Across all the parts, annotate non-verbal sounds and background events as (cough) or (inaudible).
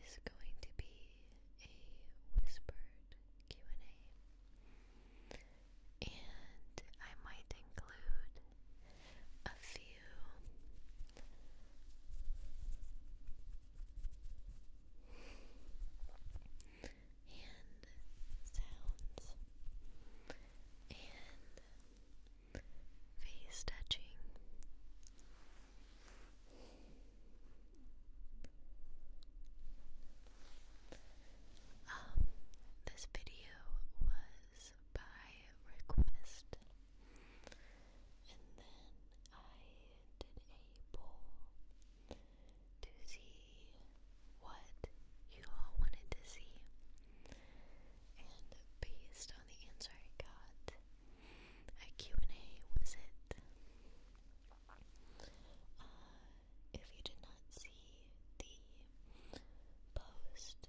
is going to be a whispered Q&A. And I might include a few hand sounds and face touching um, this video was by request, and then I did a poll to see what you all wanted to see, and based on the answer I got, a and a was it? Uh, if you did not see the post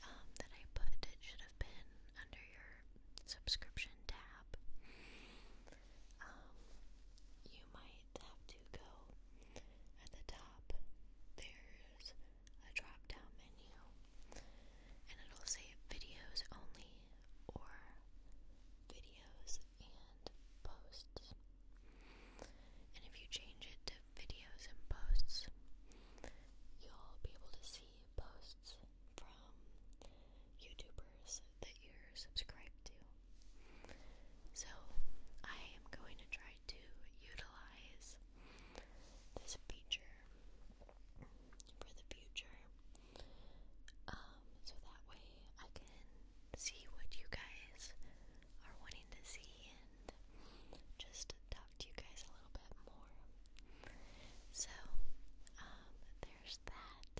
um, that I put, it should have been under your subscription tab. Um, you might have to go at the top. There's a drop down menu and it'll say videos only or videos and posts. And if you change it to videos and posts, you'll be able to see posts from YouTubers that you're subscribed to. So, I am going to try to utilize this feature for the future um, so that way I can see what you guys are wanting to see and just talk to you guys a little bit more. So, um, there's that.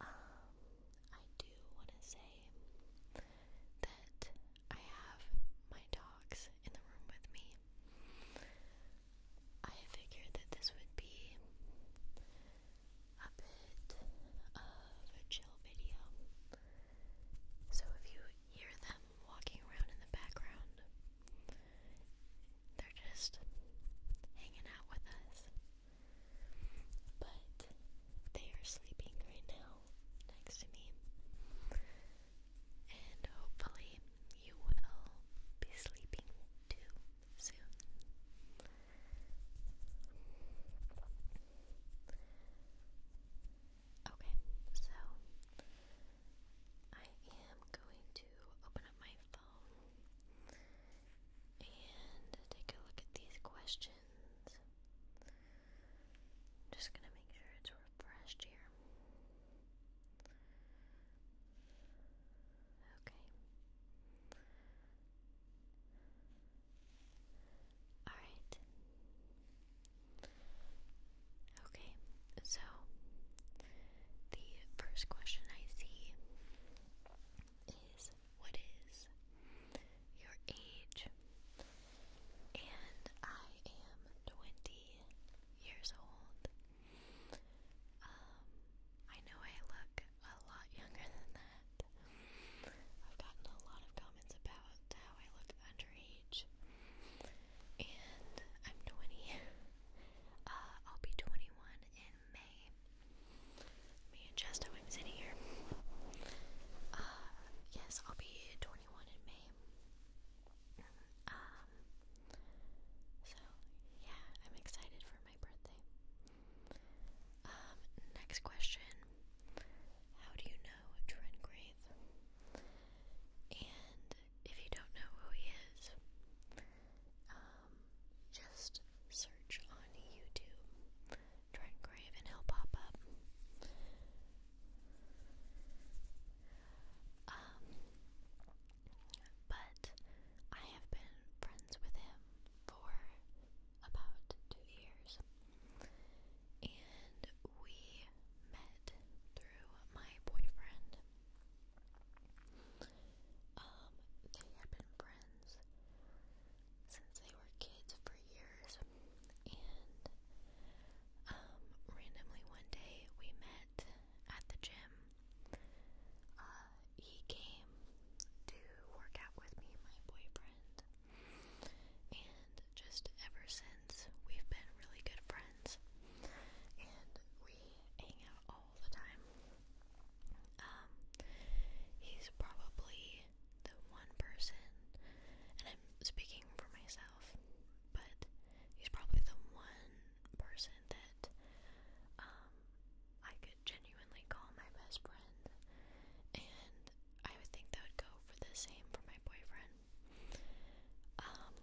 Um, I do want to say that I have my dogs in the room with me. I figured that this would be a bit of a chill video. So if you hear them walking around in the background, they're just hanging out with us. But they are sleeping right now next to me and hopefully you will be sleeping too soon. Okay, so I am going to open up my phone and take a look at these questions. just gonna make sure it's refreshed here. Okay. Alright. Okay, so the first question I see is what is your age? And I am 20 years old. Um, I know I look a lot younger than that. I've gotten a lot of comments about how I look underage, and I'm 20. (laughs) Uh, I'll be 21 in May. me adjust how I'm sitting here. Uh, yes, I'll be 21 in May. Um, so yeah, I'm excited for my birthday. Um, next question. How do you know Trent Grave? And if you don't know who he is, um, just search on YouTube Trent Grave and he'll pop up. Um, but I have been friends with him for about two years. And we met through my boyfriend. Um, they had been friends since they were kids for years. And um randomly one day we met at the gym uh, he came to work out with me, my boyfriend, and just ever since we've been really good friends, and we hang out all the time. Um, he's probably the one person, and I'm speaking for myself, but he's probably the one person that um, I could genuinely call my best friend, and I would think that would go for the same for my boyfriend. Um,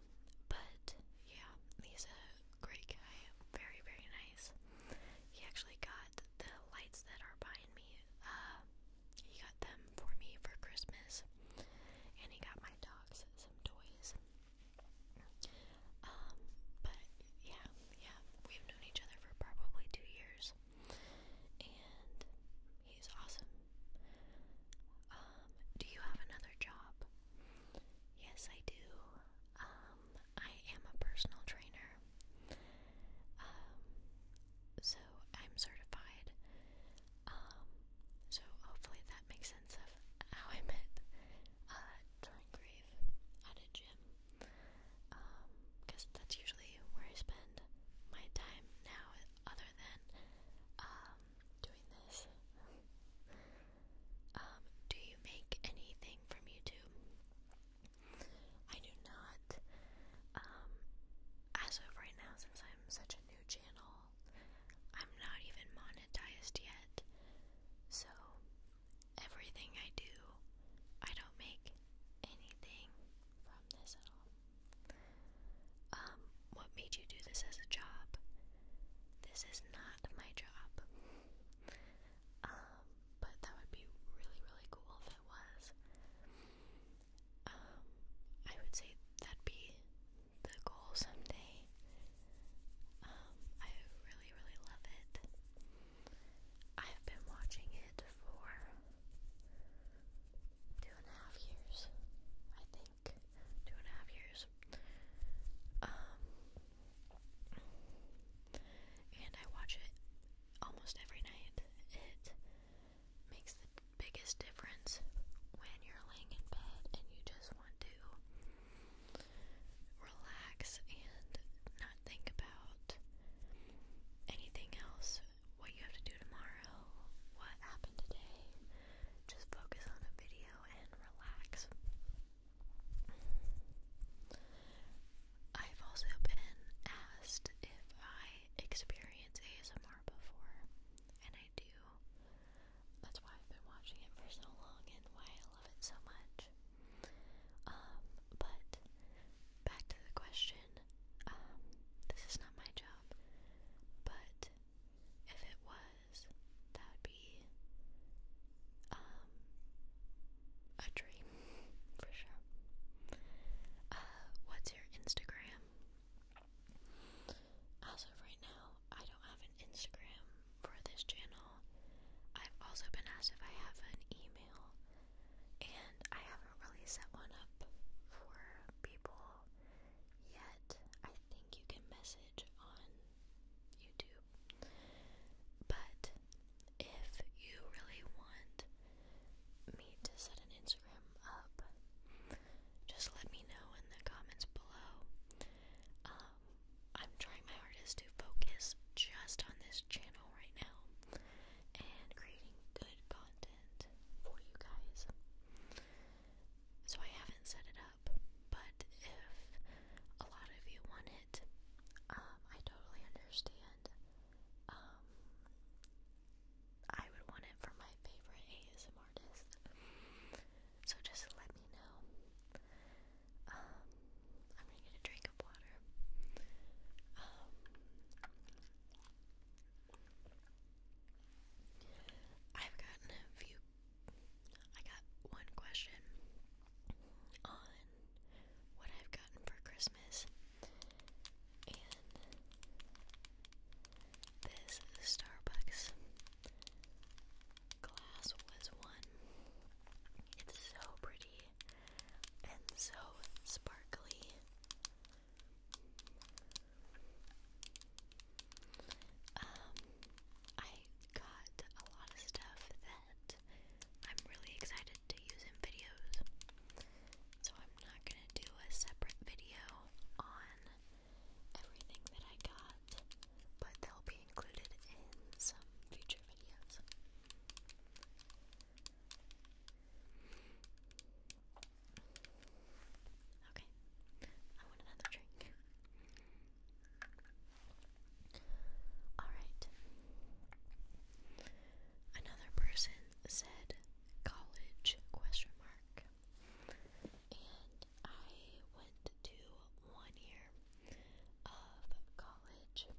but yeah, he's a great guy, very very nice. He actually got the lights that are behind me. Uh, he got them for me for Christmas, and he got my dogs some toys. Um, but yeah, yeah, we've known each other for probably two years, and he's awesome. Um, do you have another job? Yes, I do. Um, I am a personal trainer. Um, so I'm certified. Um, so hopefully that makes how I met uh, Thorngrave at a gym. Because um, that's usually where I spend my time now, other than um, doing this. (laughs) Um, do you make anything from YouTube? I do not. as of right now, since I'm such a new channel, I'm not even monetized yet. So, everything I do, I don't make anything from this at all. Um, what made you do this as a job? This is not my job. Um, but that would be really, really cool if it was. Um, I would say that'd be the goal someday. Um, I really, really love it. I have been watching it for two and a half years, I think. Two and a half years. Um, and I watch it almost every night. It makes the biggest difference when you're laying in bed and you just want to relax and not think about anything else. What you have to do tomorrow, what happened today. Just focus on a video and relax. I've also been asked if I experience ASMR before, and I do. That's why I've been watching it for so long and why I love it so much. Um, but back to the question. Um, this is not my job, but if it was, that would be um a dream (laughs) for sure. Uh, what's your Instagram? As of right now, I don't have an Instagram for this channel. I've also been asked if I have an email, and I haven't really set one up for people yet. I think you can message on YouTube. But if you really want me to set an Instagram up, just let me know in the comments below. Um, I'm trying my hardest to focus just on this channel right now and creating good content for you guys. So I haven't set it up, but if a lot of you want it, um, I totally understand. Um, I would want it for my favorite ASM artist. So just let me know. Um, I'm gonna get a drink of water. Um, I've gotten a few. I got one question on what I've gotten for Christmas, and this Starbucks Glass was one. It's so pretty and so sparkly. Um, I got a lot of stuff that I'm really excited to use in videos. So I'm not gonna do a separate video on everything that I got, but they'll be included in some future videos. Okay, I want another drink. Alright. Another person said college question mark. I went to one year of college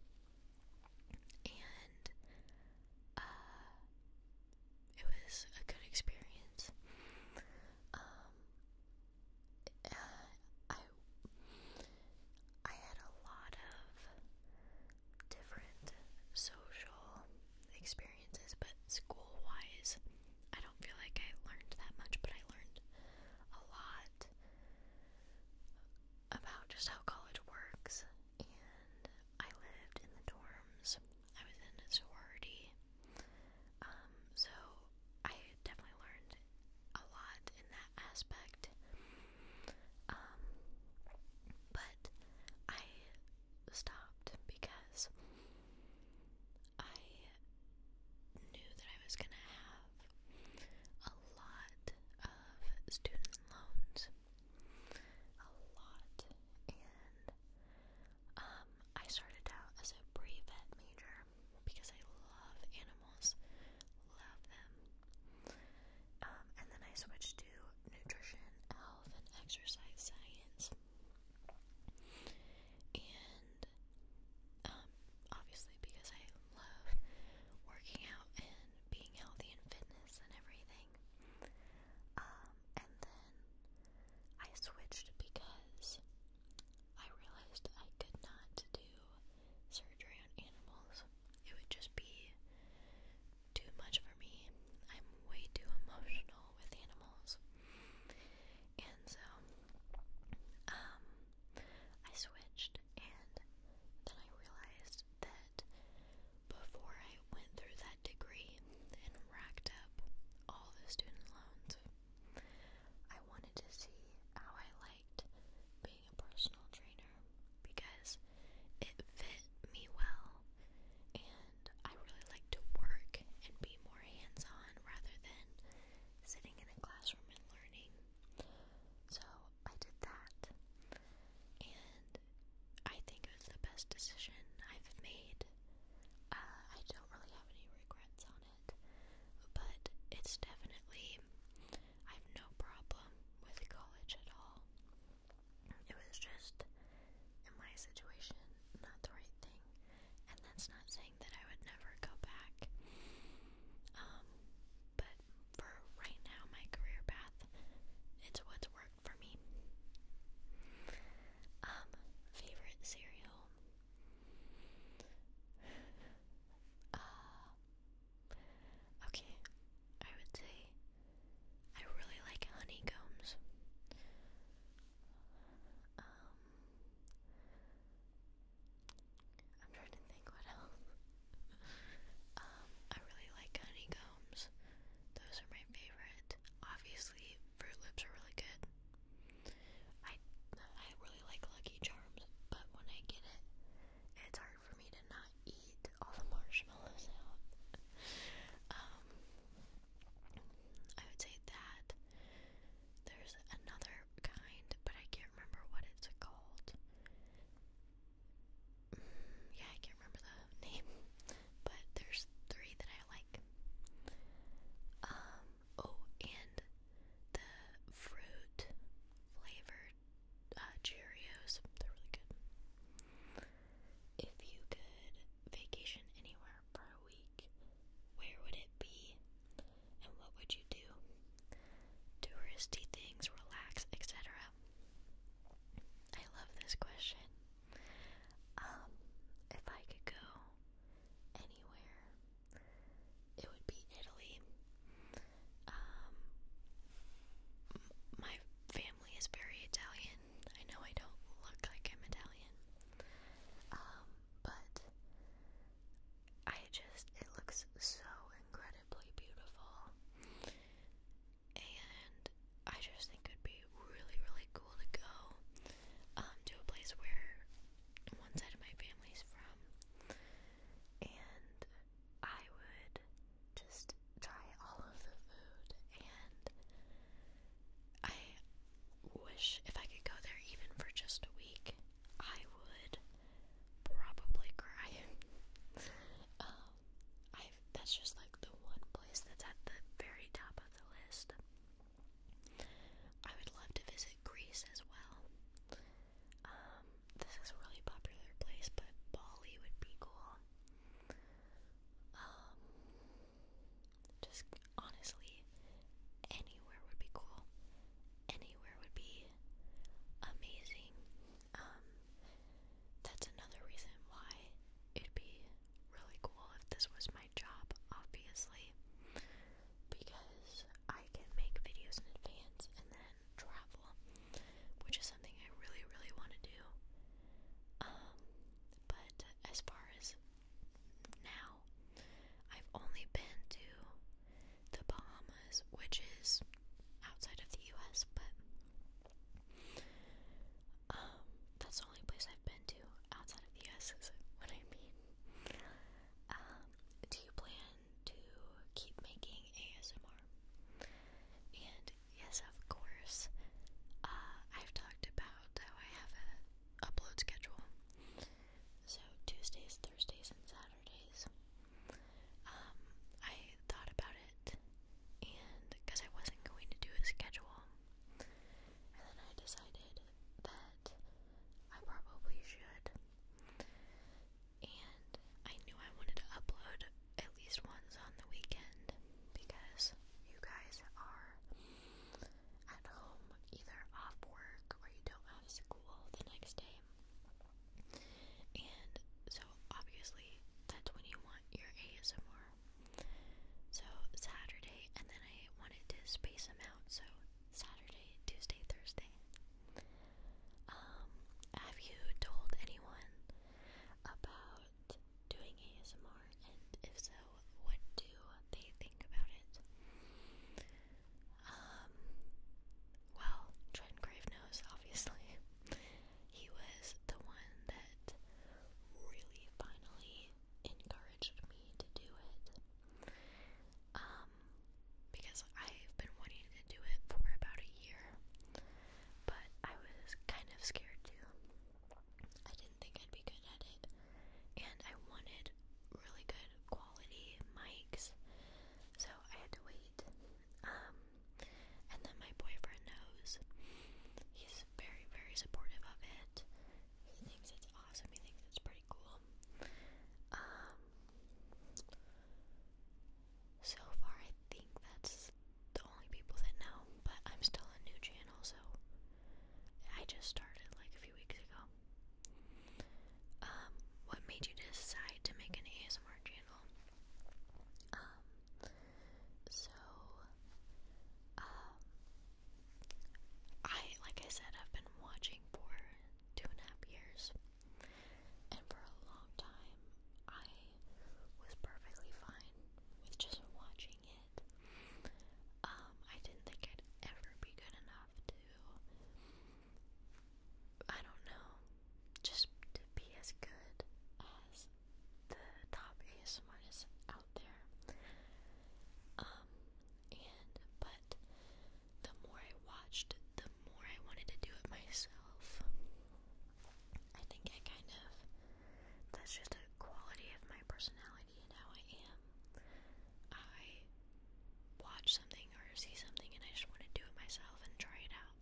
and uh, it was a good experience. Um, uh, I I had a lot of different social experiences, but school wise, I don't feel like I learned that much, but I learned a lot about just how college works. And I lived in the dorms, I was in a sorority. Um, so I definitely learned a lot in that aspect. Um, but I stopped because I knew that I was going to have a lot of student loans. A lot. And um, I started out as a pre vet major because I love animals, love them. Um, and then I switched to nutrition, health, and exercise science. And um, obviously, because I love working out and being healthy and fitness and everything. Um, and then I switched because I realized I could not do surgery on animals. It would just be too much for me. I'm way too emotional with animals. And so um, I switched, and then I realized that before I went through that degree and racked up all the student loans, I wanted to see how I liked being a personal trainer because it fit me well and I really like to work and be more hands on rather than sitting in a classroom and learning. So I did that, and I think it was the best decision I've made. Uh, I don't really have any regrets on it, but it's definitely, I have no problem with college at all. It was just, in my situation, not the right thing and that's not saying that I would never go back. Um, but for right now, my career path, it's what's worked for me. Um, favorite cereal? (sighs) Uh, okay, I would say I really like honeycombs. Um, I'm trying to think what else. (laughs) um, I really like honeycombs. Those are my favorite. Obviously, Fruit Loops are really good. I I really like Lucky Charms, but when I get it, it's hard for me to not eat all the marshmallows out. Um, I would say that. There's another kind, but I can't remember what it's called. Mm, yeah, I can't remember the (laughs) name, but there's three that I like. Um, oh, and the fruit flavored uh, Cheerios, they're really good. If you could vacation anywhere for a week, where would it be? and what would you do? Touristy things, relax, etc. I love this question. Um, if I could go anywhere, it would be Italy. Um, my family is very Italian. I know I don't look like I'm Italian. Um, but I just, it looks so incredibly beautiful. And I just think it'd be really, really cool to go um, to a place where one side of my family's from. And I would just try all of the food. And I wish if I could go there even for just a week, I would probably cry. (laughs) Um, I that's just like the one place that's at the very top of the list. I would love to visit Greece as well. Um, this is a really popular place, but Bali would be cool. Um, just honestly, anywhere would be cool. Anywhere would be amazing. Um, that's another reason why it'd be really cool if this was my job, obviously, because I can make videos in advance and then travel, which is something I really, really want to do. Um, but as far as now, I've only been to the Bahamas, which is outside of the US, but um, that's the only place I've been to outside of the US, is what I mean. Um, do you plan to keep making ASMR? And yes, of course, uh, I've talked about how I have a upload schedule so Tuesdays, Thursdays, and Saturdays. Um, I thought about it, and because I wasn't going to do a schedule, and then I decided that I probably should. And I knew I wanted to upload at least once on the weekend because you guys are at home, either off work or you don't have school the next day. And so, obviously, that's when you want your ASMR. So, Saturday, and then I wanted to space them out, so Saturday, Tuesday, Thursday. Um, have you told anyone about doing ASMR? And if so, what do they think about it? Um, well, Trent Gravenose, obviously. (laughs) He was the one that really finally encouraged me to do it. Um, because I've been wanting to do it for about a year, but I was kind of scared too. I didn't think I'd be good at it and I wanted really good quality mics, so I had to wait. Um, and then my boyfriend knows. He's very, very supportive of it. He thinks it's awesome. He thinks it's pretty cool. Um, so far, I think that's the only people that know, but I'm still a new channel, so I just started like a few weeks ago. Um, what made you decide to make an ASMR channel? Um, so, um, I, like I said, I've been watching for two and a half years, and for a long time, I was perfectly fine with just watching it. Um, I didn't think I'd ever be good enough to, I don't know, just to be as good as the top ASMRs out there. Um, and, but the more I watched, the more I wanted to do it myself. I think I kind of, that's just a quality of my personality idea how I am. I watch something or see something and I just want to do it myself and try it out.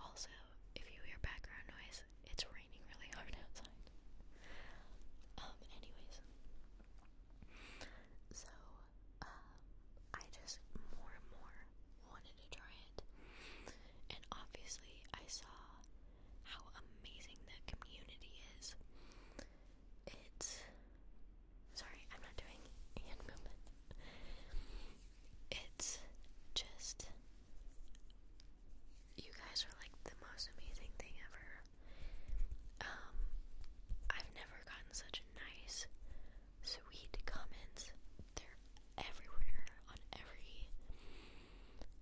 Also, if you hear background noise, it's raining really hard (laughs) outside. Um, anyways, so, um, I just more and more wanted to try it. And obviously, I saw how amazing the community is. It's sorry, I'm not doing hand movement. It's just you guys are like the most amazing thing ever. Um, I've never gotten such nice, sweet comments. They're everywhere on every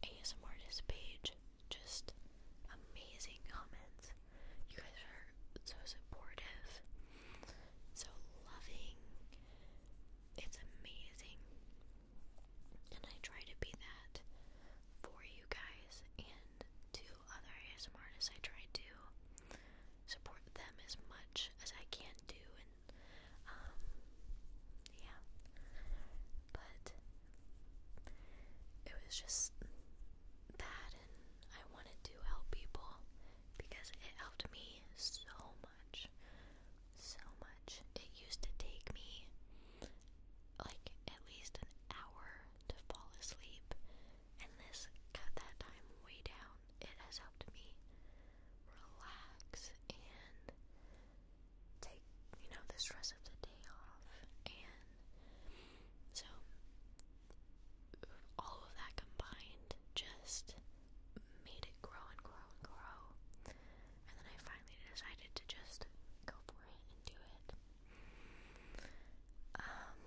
ASMR page just amazing comments. You guys are so supportive, so loving. It's amazing. And I try to be that for you guys and to other ASMR artists. I try to support them as much as I can do and um yeah. But it was just that and I wanted to help people because it helped me so much. So much. It used to take me like at least an hour to fall asleep and this cut that time way down. It has helped me relax and take, you know, the stress of the day off and so, all of that combined just made it grow and grow and grow. And then I finally decided to just go for it and do it. Um,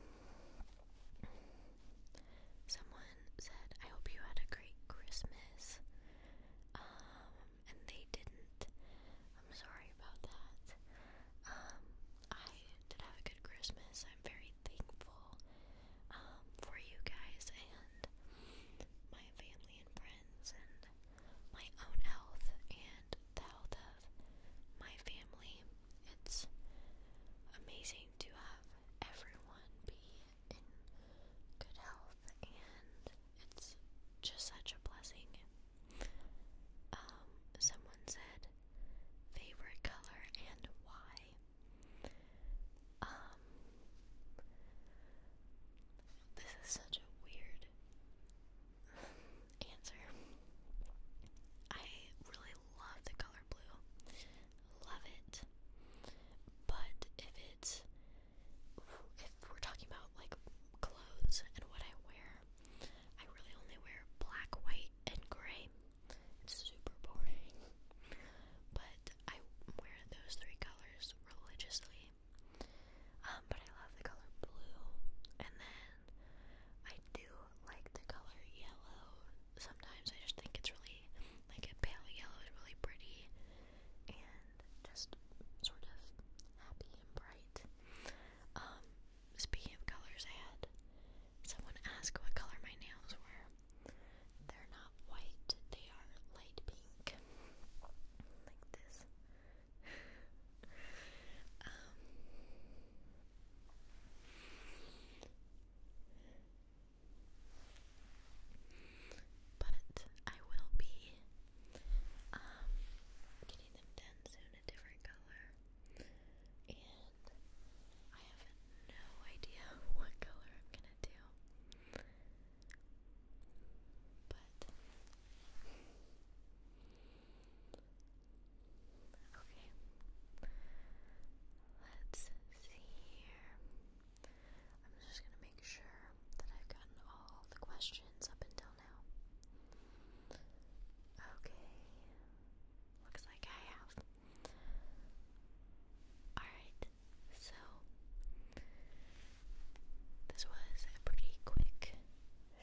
someone said, I hope you had a great Christmas. Um, and they didn't. I'm sorry about that. Um, I did have a good Christmas. I'm very thankful um, for you guys and my family and friends and my own health and the health of my family. It's amazing to have everyone be in good health and it's just such a blessing um, someone said favorite color and why. Um, this is such a weird (laughs) answer. I really love the color blue. Love it. But if it's if we're talking about like clothes and what I wear, I really only wear black, white, and gray. It's super boring. But I wear those three colors religiously. Um, but I love the color blue. And then I do like the color yellow. Sometimes I just think it's really like a pale yellow is really pretty and just sort of happy and bright. Um, Speaking of colors, I had someone ask what color my nails were. They're not white, they are light pink. Like this. (laughs) Um, but I will be um, getting them done soon a different color, and I have no idea (laughs) what color I'm gonna do. But okay, let's see I'm just gonna make sure that I've gotten all the questions up and until Okay. Looks like I have. Alright, so this was a pretty quick,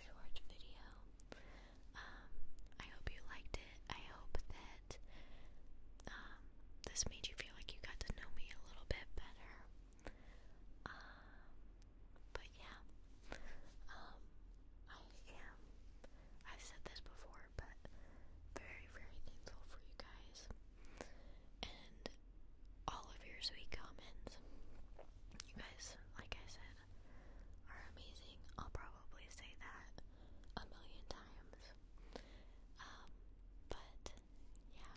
short video. Um, I hope you liked it. I hope that um, this made you feel like you got to know me a little bit better. Um, but yeah, um, I am. I've said this before, but very, very thankful for you guys and all of your sweet comments. You guys, like I said, are amazing. I'll probably say that a million times. Um, but yeah.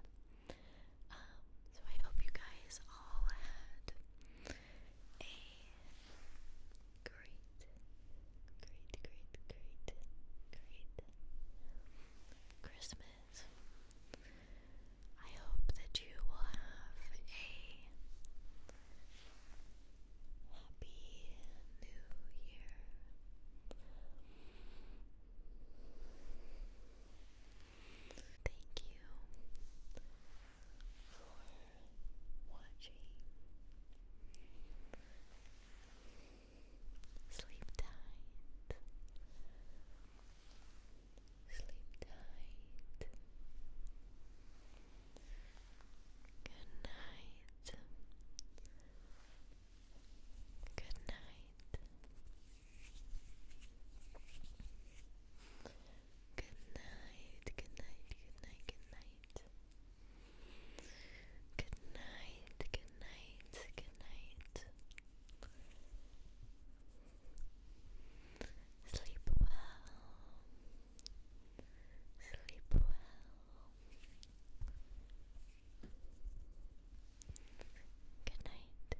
Um, so I hope you guys all had a great, great, great, great, great Christmas. I hope that you will have a Happy New Year. Thank you for watching. Sleep tight. Sleep tight. Good night. Good night. Good night, good night, good night, good night. Good night, good night, good night. Sleep well. Sleep well. Good night.